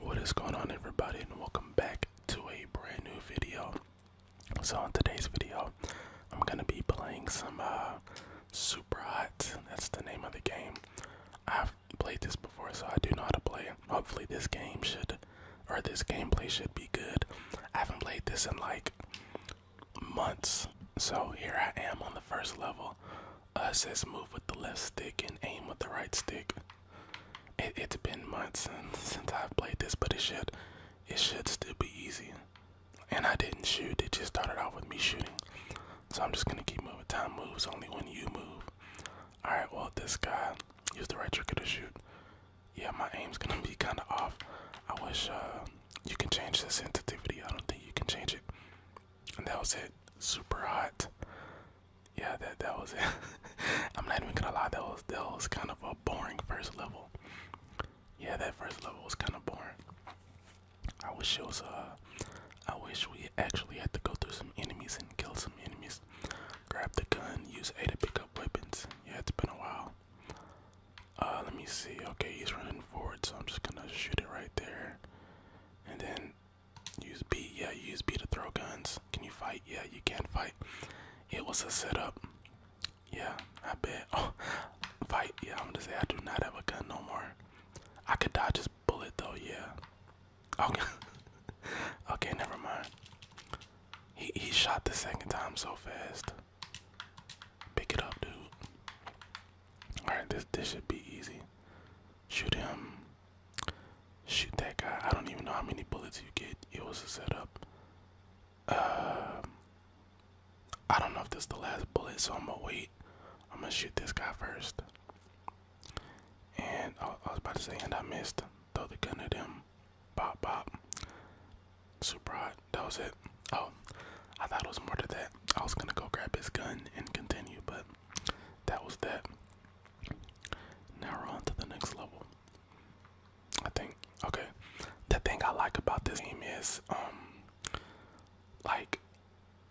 What is going on everybody and welcome back to a brand new video. So in today's video, I'm gonna be playing some uh super hot. That's the name of the game. I've played this before so I do know how to play it. Hopefully this game should or this gameplay should be good. I haven't played this in like months. So here I am on the first level. Uh, says move with the left stick and aim with the right stick. It, has been months since, since I've played this, but it should it should still be easy. And I didn't shoot; it just started off with me shooting. So I'm just gonna keep moving. Time moves only when you move. All right. Well, this guy used the right trigger to shoot. Yeah, my aim's gonna be kind of off. I wish uh, you can change the sensitivity. I don't think you can change it that was it. Super hot. Yeah, that that was it. I'm not even gonna lie, that was that was kind of a boring first level. Yeah, that first level was kind of boring. I wish it was uh I wish we actually had to go through some enemies and kill some enemies. Grab the gun, use A to pick up weapons. Yeah, it's been a while. Uh let me see. Okay, he's running forward, so I'm just gonna shoot it right there. And then Use B, yeah, you use B to throw guns. Can you fight? Yeah, you can fight. It was a setup. Yeah, I bet. Oh, fight. Yeah, I'm gonna say I do not have a gun no more. I could dodge his bullet though, yeah. Okay. okay, never mind. He he shot the second time so fast. Pick it up, dude. Alright, this this should be easy. Shoot him. Shoot that guy. I don't even know how many bullets you get. It was a setup. Um, I don't know if this is the last bullet, so I'm gonna wait. I'm gonna shoot this guy first. And I, was about to say, and I missed. Throw the gun at him. Pop, pop. Super hot. That was it. Oh, I thought it was more to that. I was gonna go grab his gun and continue, but that was that. Now we're on to the next level. I think okay. The thing I like about this game is um like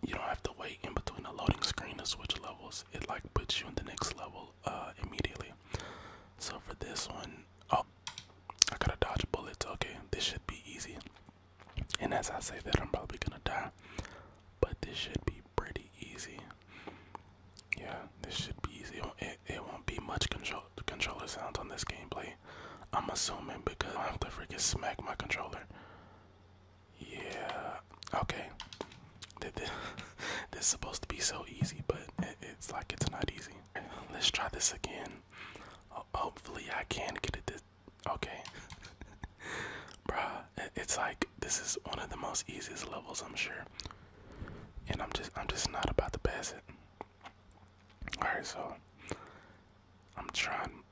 you don't have to wait in between the loading screen to switch levels. It like puts you in the next level uh immediately. So for this one, oh I gotta dodge bullets, okay. This should be easy. And as I say that, I'm probably gonna die. But this should be pretty easy. Yeah, this should be easy. It, it won't be much control controller sounds on this gameplay. I'm assuming because I have to freaking smack my controller. Yeah. Okay. This is supposed to be so easy, but it's like it's not easy. Let's try this again. Hopefully, I can get it this Okay. Bruh, it's like this is one of the most easiest levels I'm sure. And I'm just I'm just not about to pass it. Alright, so I'm trying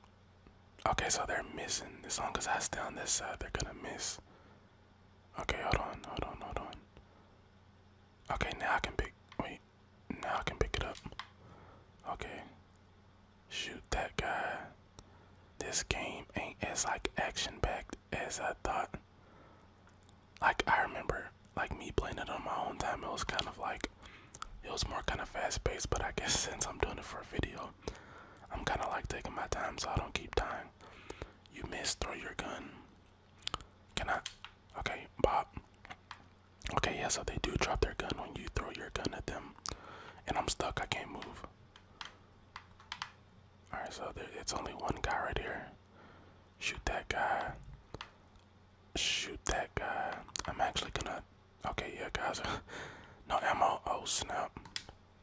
Okay, so they're missing. this one because I stay on this side, they're gonna miss. Okay, hold on, hold on, hold on. Okay, now I can pick wait, now I can pick it up. Okay. Shoot that guy. This game ain't as like action packed as I thought. Like I remember like me playing it on my own time, it was kind of like it was more kind of fast paced, but I guess since I'm doing it for a video, I'm kind of like taking my time so I don't keep dying. You miss, throw your gun. Can I? Okay, Bob. Okay, yeah, so they do drop their gun when you throw your gun at them. And I'm stuck, I can't move. Alright, so there, it's only one guy right here. Shoot that guy. Shoot that guy. I'm actually gonna. Okay, yeah, guys. no ammo. Oh, snap.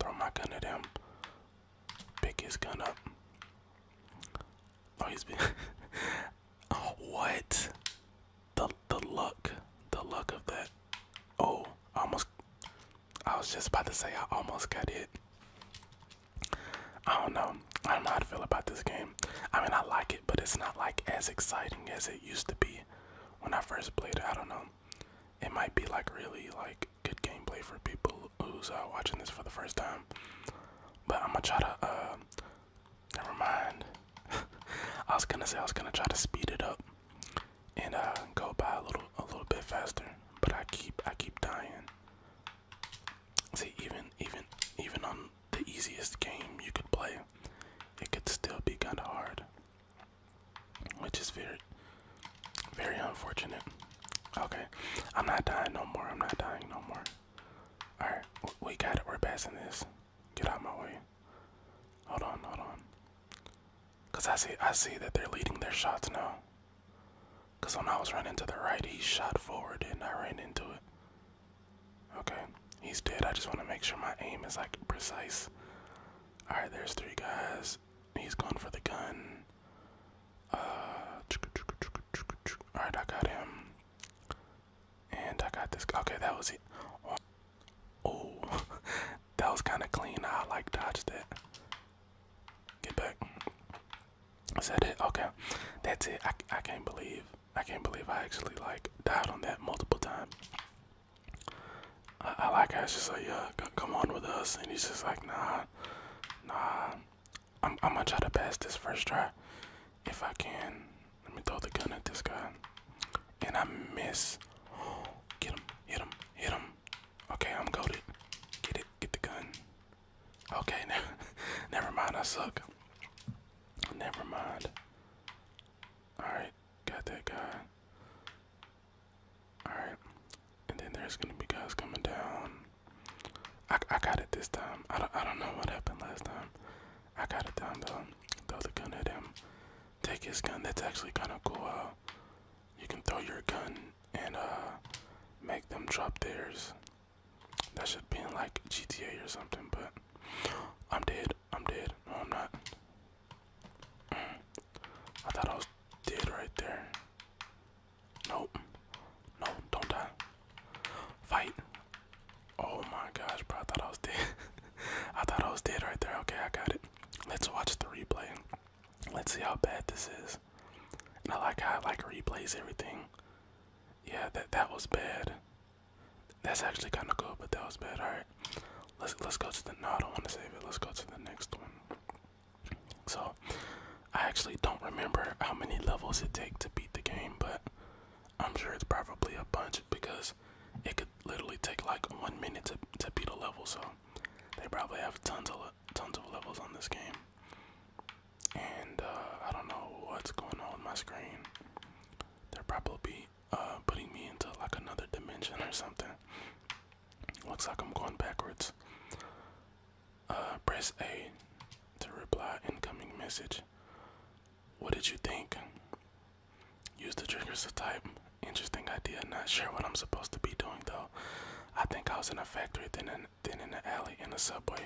Throw my gun at him. Pick his gun up. Oh, he's been. Oh, what? The the luck, the luck of that. Oh, almost. I was just about to say I almost got it. I don't know. I don't know how to feel about this game. I mean, I like it, but it's not like as exciting as it used to be when I first played it. I don't know. It might be like really like good gameplay for people who's uh, watching this for the first time. But I'm gonna try to uh, Never mind. I was gonna say I was gonna try to speed it up and uh, go by a little a little bit faster, but I keep I keep dying. See, even even even on the easiest game you could play, it could still be kind of hard, which is very very unfortunate. Okay, I'm not dying no more. I'm not dying no more. All right, we got it. We're passing this. Get out of my way. Hold on, hold on. Cause I see I see that they're leading their shots now. Cause when I was running to the right, he shot forward and I ran into it. Okay, he's dead. I just want to make sure my aim is like precise. Alright, there's three guys. He's going for the gun. Uh, Alright, I got him. And I got this. Okay, that was it. Oh, that was kind of clean. I like dodged that. Get back. Is that it? Okay, that's it. I, I can't believe I can't believe I actually like died on that multiple times. I, like how just like yeah, come on with us, and he's just like nah, nah. I'm I'm gonna try to pass this first try. If I can, let me throw the gun at this guy. And I miss. get him, hit him, hit him. Okay, I'm goaded. Get it, get the gun. Okay, now. never mind, I suck. Never mind. Alright, got that guy. Alright, and then there's gonna be guys coming down. I, I got it this time. I don't, I don't know what happened last time. I got it down though. Throw the gun at him. Take his gun. That's actually kind of cool. you can throw your gun and uh, make them drop theirs. That should be in like GTA or something, but I'm dead. I'm dead. No, I'm not. I thought I was dead right there. Nope. No, don't die. Fight. Oh my gosh, bro! I thought I was dead. I thought I was dead right there. Okay, I got it. Let's watch the replay. Let's see how bad this is. And I like how I like replays everything. Yeah, that that was bad. That's actually kind of cool, but that was bad. All right, let's let's go to the. No, I want to save it. Let's go to the next one. So, I actually don't remember how many levels it takes to beat the game, but I'm sure it's probably a bunch because it could literally take like one minute to, to beat a level. So they probably have tons of tons of levels on this game. And uh, I don't know what's going on with my screen. They're probably uh, putting me into like another dimension or something. Looks like I'm going backwards. Uh, press A to reply incoming message. What did you think? Use the triggers to type. Interesting idea. Not sure what I'm supposed to be doing though. I think I was in a factory, then in, then in an alley, in a subway.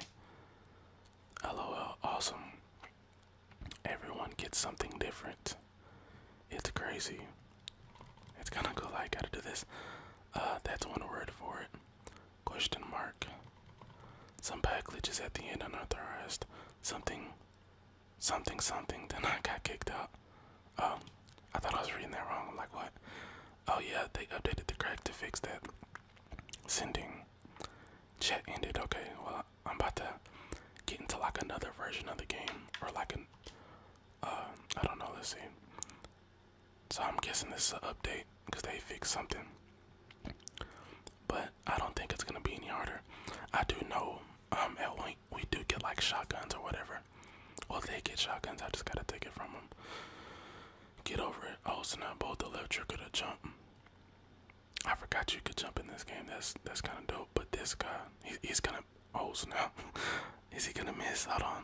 LOL. Awesome. Everyone gets something different. It's crazy. It's kind of cool. I gotta do this. Uh, that's one word for it. Question mark. Some bad glitches at the end unauthorized. Something, something, something. Then I got kicked out. Oh, I thought I was reading that wrong. I'm like, what? Oh yeah, they updated the crack to fix that. Sending. Chat ended. Okay, well I'm about to get into like another version of the game or like an. Uh, don't know. Let's see. So I'm guessing this is an update because they fixed something. But I don't think it's gonna be any harder. I do know um at Wink we do get like shotguns or whatever. Well they get shotguns, I just gotta take it from them. Get over it. Oh snap! both the left trigger to jump. I forgot you could jump in this game. That's that's kind of dope. But this guy, he's gonna. Oh snap! Is he gonna miss? Hold on.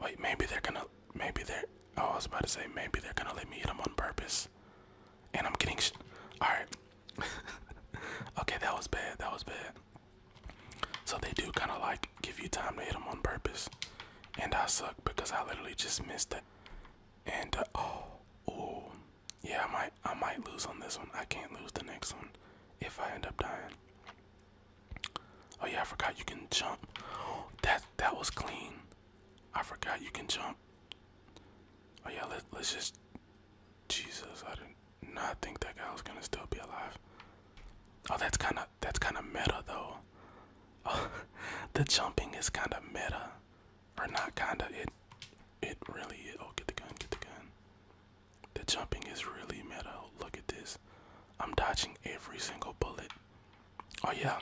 Wait, maybe they're gonna. Maybe they're. Oh, I was about to say maybe they're gonna let me hit them on purpose. And I'm getting. Sh All right. okay, that was bad. That was bad. So they do kind of like give you time to hit them on purpose, and I suck because I literally just missed it. And uh, oh, oh, yeah, I might, I might lose on this one. I can't lose the next one if I end up dying. Oh yeah, I forgot you can jump. That that was clean. I forgot you can jump. Oh yeah, let, let's just. Jesus, I did not think that guy was gonna still be alive. Oh, that's kind of that's kind of meta though. Oh, the jumping is kind of meta, or not kind of it. It really. Oh, get the gun, get the gun. The jumping is really meta. Look at this. I'm dodging every single bullet. Oh yeah.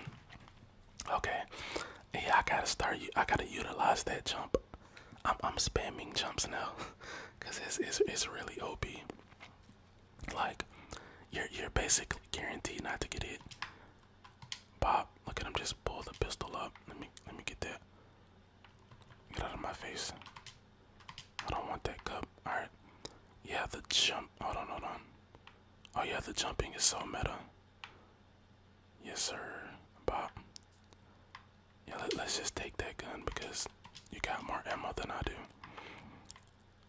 Okay. Yeah, I gotta start. I gotta utilize that jump. I'm I'm spamming jumps now, cause it's it's it's really OP. Like, you're you're basically guaranteed not to get hit. Bob, look at him just pull the pistol up. Let me let me get that. Get out of my face. I don't want that cup. Alright. Yeah, the jump. Hold on, hold on. Oh, yeah, the jumping is so meta. Yes, sir. Bob. Yeah, let, us just take that gun because you got more ammo than I do.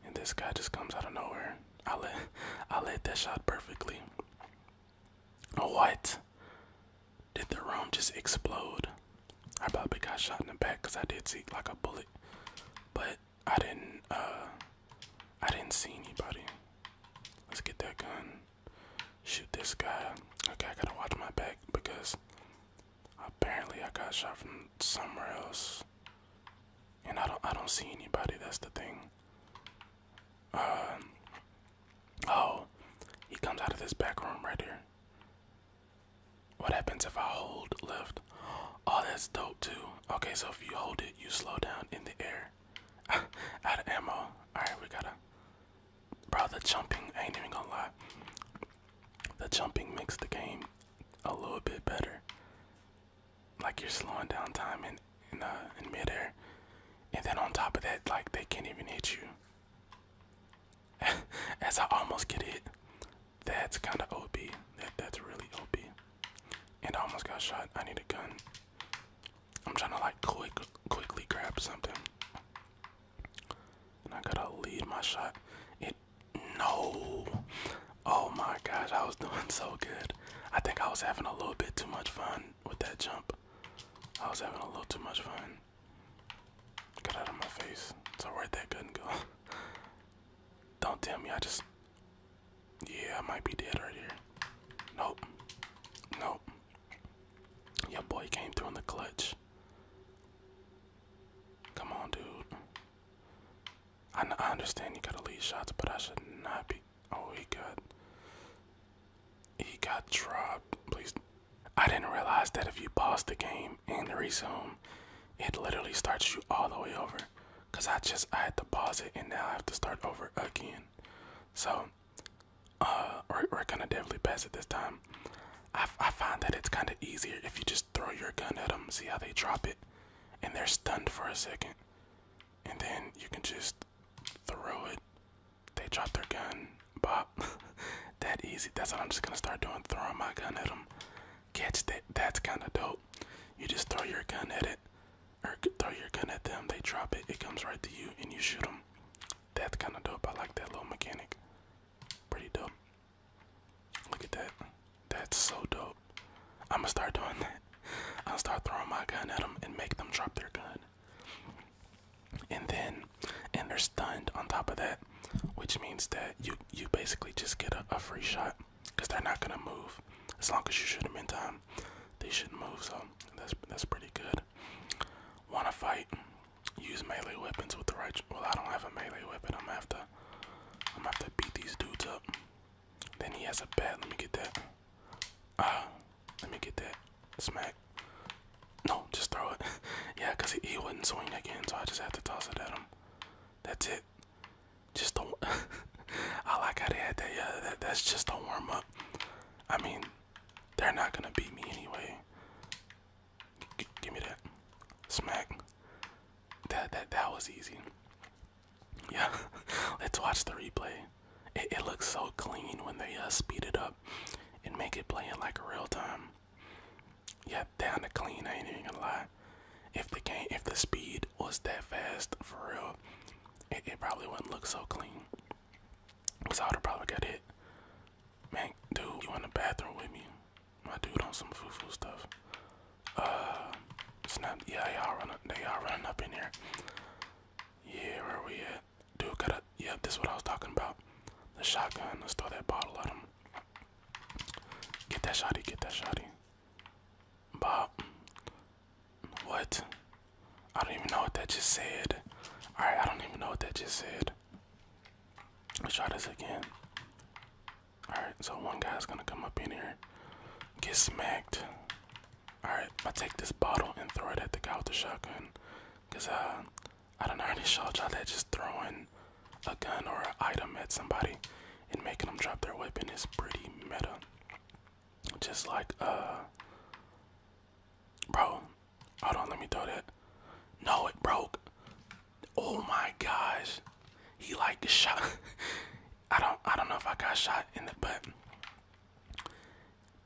And this guy just comes out of nowhere. I let, I let that shot perfectly. Oh What? Did the room just explode? I probably got shot in the back because I did see like a bullet, but I didn't. Uh, I didn't see anybody. Let's get that gun. Shoot this guy. Okay, I gotta watch my back because apparently I got shot from somewhere else, and I don't. I don't see anybody. That's the thing. Uh, oh, he comes out of this back room right here. What happens if I hold left? Oh, that's dope too. Okay, so if you hold it, you slow down in the air. Out of ammo. All right, we gotta. Bro, the jumping. ain't even gonna lie. The jumping makes the game a little bit better. Like you're slowing down time in in uh, midair, and then on top of that, like they can't even hit you. As I almost get hit, that's kind of op. That that's really op. And I almost got shot. I need a gun. I'm trying to like quick quickly grab something. And I gotta lead my shot. It no. Oh my gosh, I was doing so good. I think I was having a little bit too much fun with that jump. I was having a little too much fun. Get out of my face. So where'd that gun go? Don't tell me I just Yeah, I might be dead right here. Nope. Nope. Your boy came through in the clutch. Come on, dude. I, I understand you gotta lead shots, but I should not be. Oh, he got. He got dropped. Please, I didn't realize that if you pause the game and resume, it literally starts you all the way over. Cause I just I had to pause it and now I have to start over again. So, uh, we're, we're gonna definitely pass it this time. I find that it's kind of easier if you just throw your gun at them, see how they drop it, and they're stunned for a second, and then you can just throw it they drop their gun, Bob. that easy. That's what I'm just gonna start doing. Throwing my gun at them. Catch that. That's kind of dope. You just throw your gun at it, or throw your gun at them. They drop it. It comes right to you, and you shoot them. That's kind of dope. I like that little mechanic. Pretty dope. Look at that. That's so dope. I'm gonna start doing that. I'll start throwing my gun at them and make them drop their gun and then and they're stunned on top of that, which means that you you basically just get a, free shot because they're not gonna move as long as you shoot them in time. They shouldn't move, so that's that's pretty good. Wanna fight? Use melee weapons with the right. Well, I don't have a melee weapon. I'm gonna have to. I'm gonna have to beat these dudes up. Then he has a bat. Let me get that. Ah. Let me get that smack. No, just throw it. yeah, because he, he wouldn't swing again, so I just had to toss it at him. That's it. Just don't. I like how they had that. Yeah, that's just a warm up. I mean, they're not going to beat me anyway. give me that. Smack. That, that, that was easy. Yeah, let's watch the replay. It, looks so clean when they uh, speed it up and make it play in like real time. Yeah, down to clean. I ain't even gonna lie. If the game, if the speed was that fast for real, it, probably wouldn't look so clean. Cause I would've probably get hit. Man, dude, you in the bathroom with me? My dude on some foo-foo stuff. Uh, it's Yeah, y'all running. They all running up in here. Yeah, where we at? Dude got a yep, this is what I was talking about. The shotgun, let's throw that bottle at him. Get that shotty, get that shotty. Bob. What? I don't even know what that just said. Alright, I don't even know what that just said. Let's try this again. Alright, so one guy's gonna come up in here, get smacked. Alright, I'll take this bottle and throw it at the guy with the shotgun. Cause uh I don't know any shot y'all that just throwing a gun or an item at somebody and making them drop their weapon is pretty meta. Just like uh, Bro, hold on, let me throw that. No, it broke. Oh my gosh. He like shot I don't I don't know if I got shot in the butt.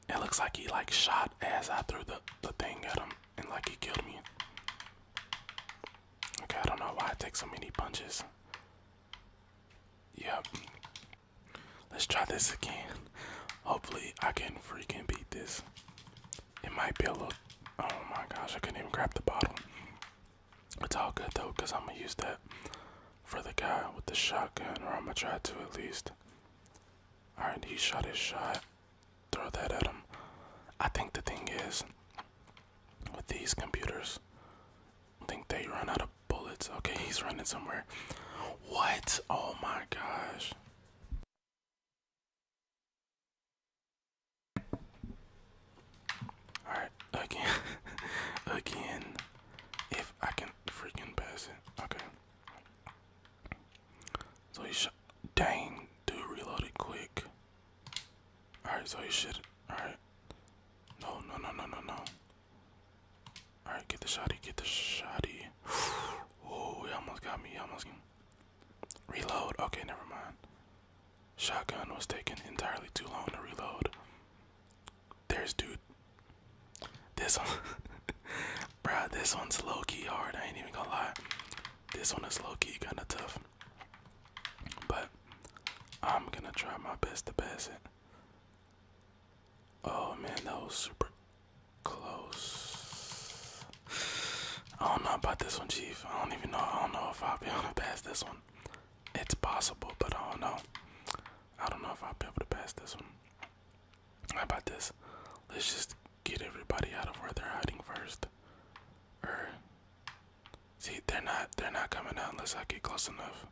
It looks like he like shot as I threw the, the thing at him and like he killed me. Okay, I don't know why I take so many punches. Yep. Let's try this again. Hopefully I can freaking beat this. It might be a little oh my gosh, I couldn't even grab the bottle. It's all good though, because I'm gonna use that for the guy with the shotgun, or I'm gonna try to at least. Alright, he shot his shot. Throw that at him. I think the thing is, with these computers, think they run out of bullets. Okay, he's running somewhere. What? Oh my gosh. Alright, again. again. If I can can't freaking pass it. Okay. So he shot. Dang, dude, reloaded quick. Alright, so he should. Alright. No, no, no, no, no, no. Alright, get the shotty, get the shotty. oh, he almost got me. almost Reload. Okay, never mind. Shotgun was taking entirely too long to reload. There's dude. This one, bruh, this one's low key hard. I ain't even gonna lie. This one is low key kind of tough. But I'm gonna try my best to pass it. Oh man, that was super close. I don't know about this one, Chief. I don't even know. I don't know if I'll be able to pass this one. It's possible, but I don't know. I don't know if I'll be able to pass this one. How about this? Let's just get everybody out of where they're hiding first. Or er, see, they're not they're not coming out unless I get close enough.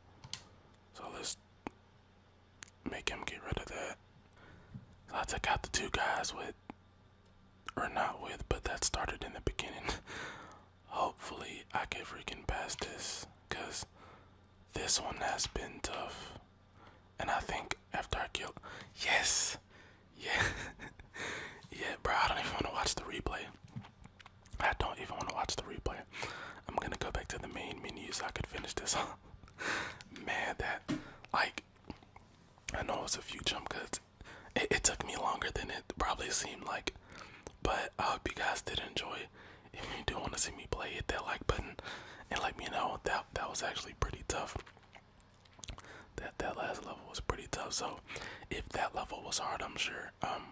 So let's make him get rid of that. I took out the two guys with or not with, but that started in the beginning. Hopefully, I can freaking pass this because this one has been tough. And I think after I kill. Yes! Yeah. yeah, bro, I don't even want to watch the replay. I don't even want to watch the replay. I'm gonna go back to the main menu so I could finish this Man, that. Like, I know it was a few jump cuts. it took me longer than it probably seemed like. But I hope you guys did enjoy. If you do want to see me play, hit that like button and let me know. That that was actually pretty tough. That that last level was pretty tough. So if that level was hard, I'm sure um,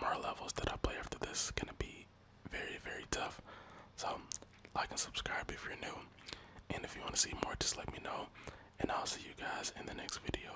more levels that I play after this is gonna be very very tough. So like and subscribe if you're new. And if you want to see more, just let me know. And I'll see you guys in the next video.